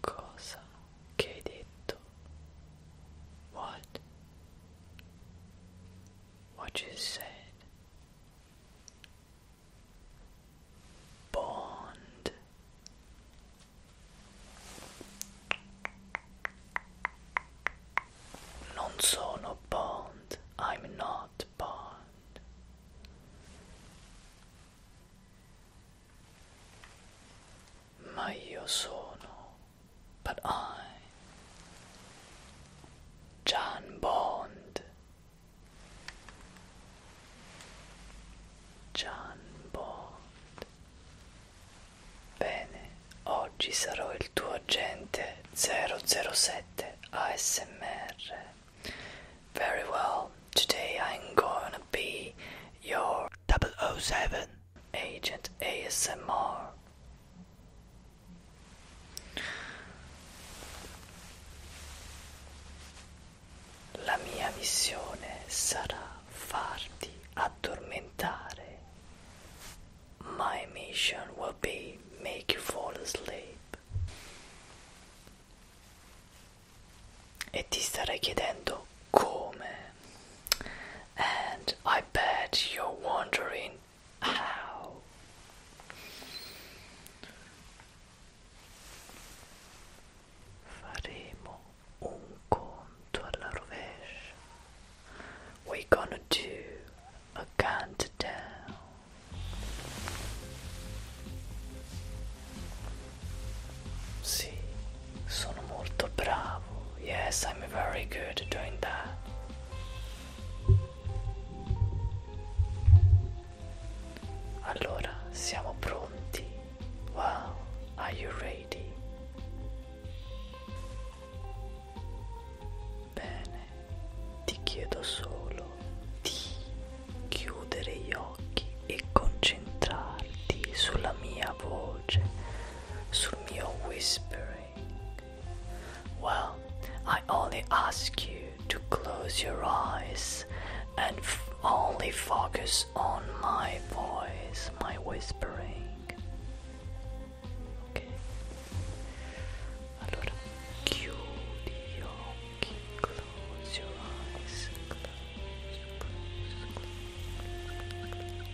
Cosa che hai detto? What? what you said. Bond. Non sono bond. I'm not bond. Ma io sono but I, John Bond, John Bond. Bene, oggi sarò il tuo agente 007 ASMR. Very well, today I'm gonna be your 007 agent ASMR. La mia missione sarà farti addormentare. My mission will be make you fall asleep. E ti starei chiedendo come. And I bet you're wondering Ow. We're gonna do a countdown. Sì, Yes, I'm very good at doing that. Allora, siamo pronti. Wow, are you ready? Bene, ti chiedo solo di chiudere gli occhi e concentrarti sulla mia voce, sul mio whispering. Well, I only ask you to close your eyes and only focus on my voice, my whispering. Ok. Allora, chiudi gli close your eyes,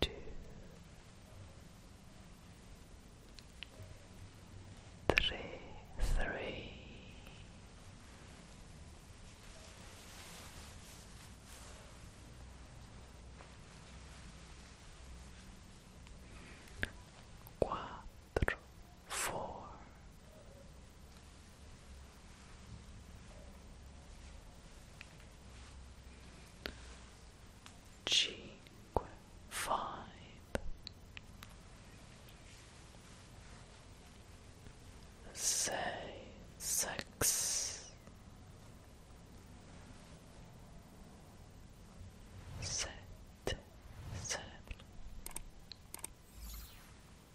two, three, three, quattro, four. Cinque,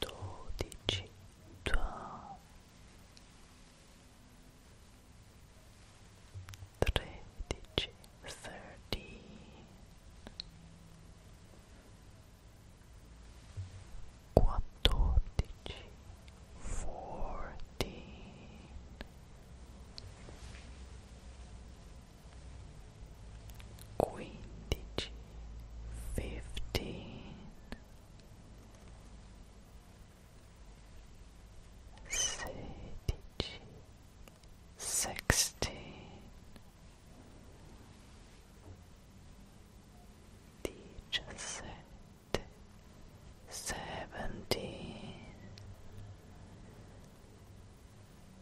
dodici due tredici thirteen fourteen quindici, fifteen, sedici, sixteen, diciassette, seventeen.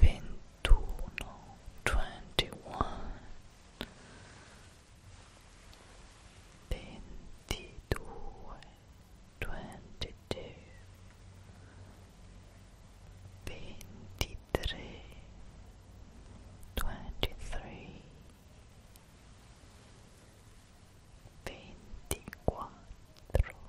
ventuno, twenty-one, ventidue, twenty-two, ventitré, twenty-three, ventiquattro.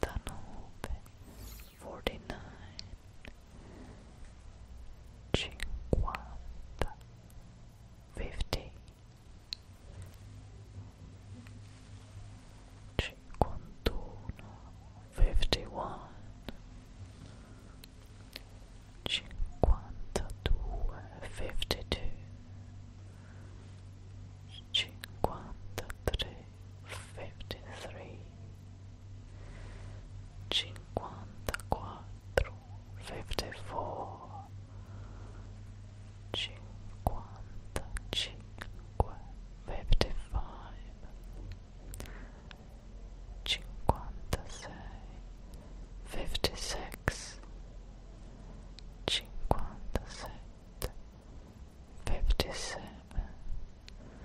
Cantaloupe forty nine fifty fifty one fifty two cinquantatré fifty-three, cinquantaquattro, fifty-four, cinquantacinque, fifty-five, cinquantasei, fifty-six, cinquantasette, fifty-seven.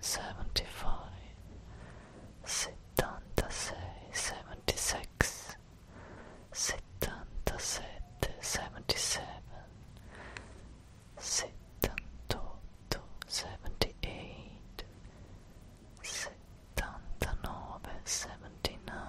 75, 76, 77, 78 79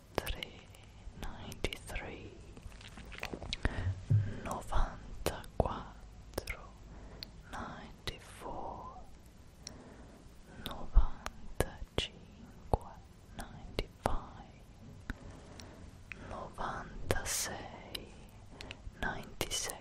93 94 96 97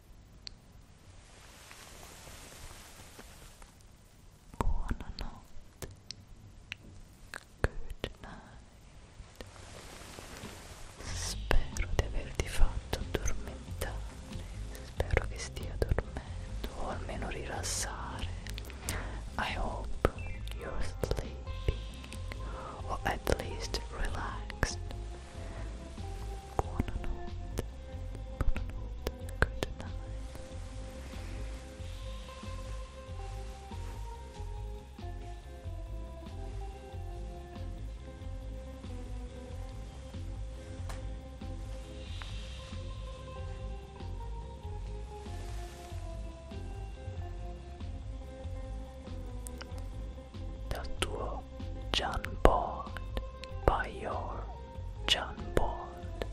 Buonanotte. Good night. Spero di averti fatto addormentare. Spero che stia dormendo o almeno rilassare. I hope you're sleeping or at least relaxed. Buonanotte, buonanotte, good night. Dal tuo John Bond by your John Bond.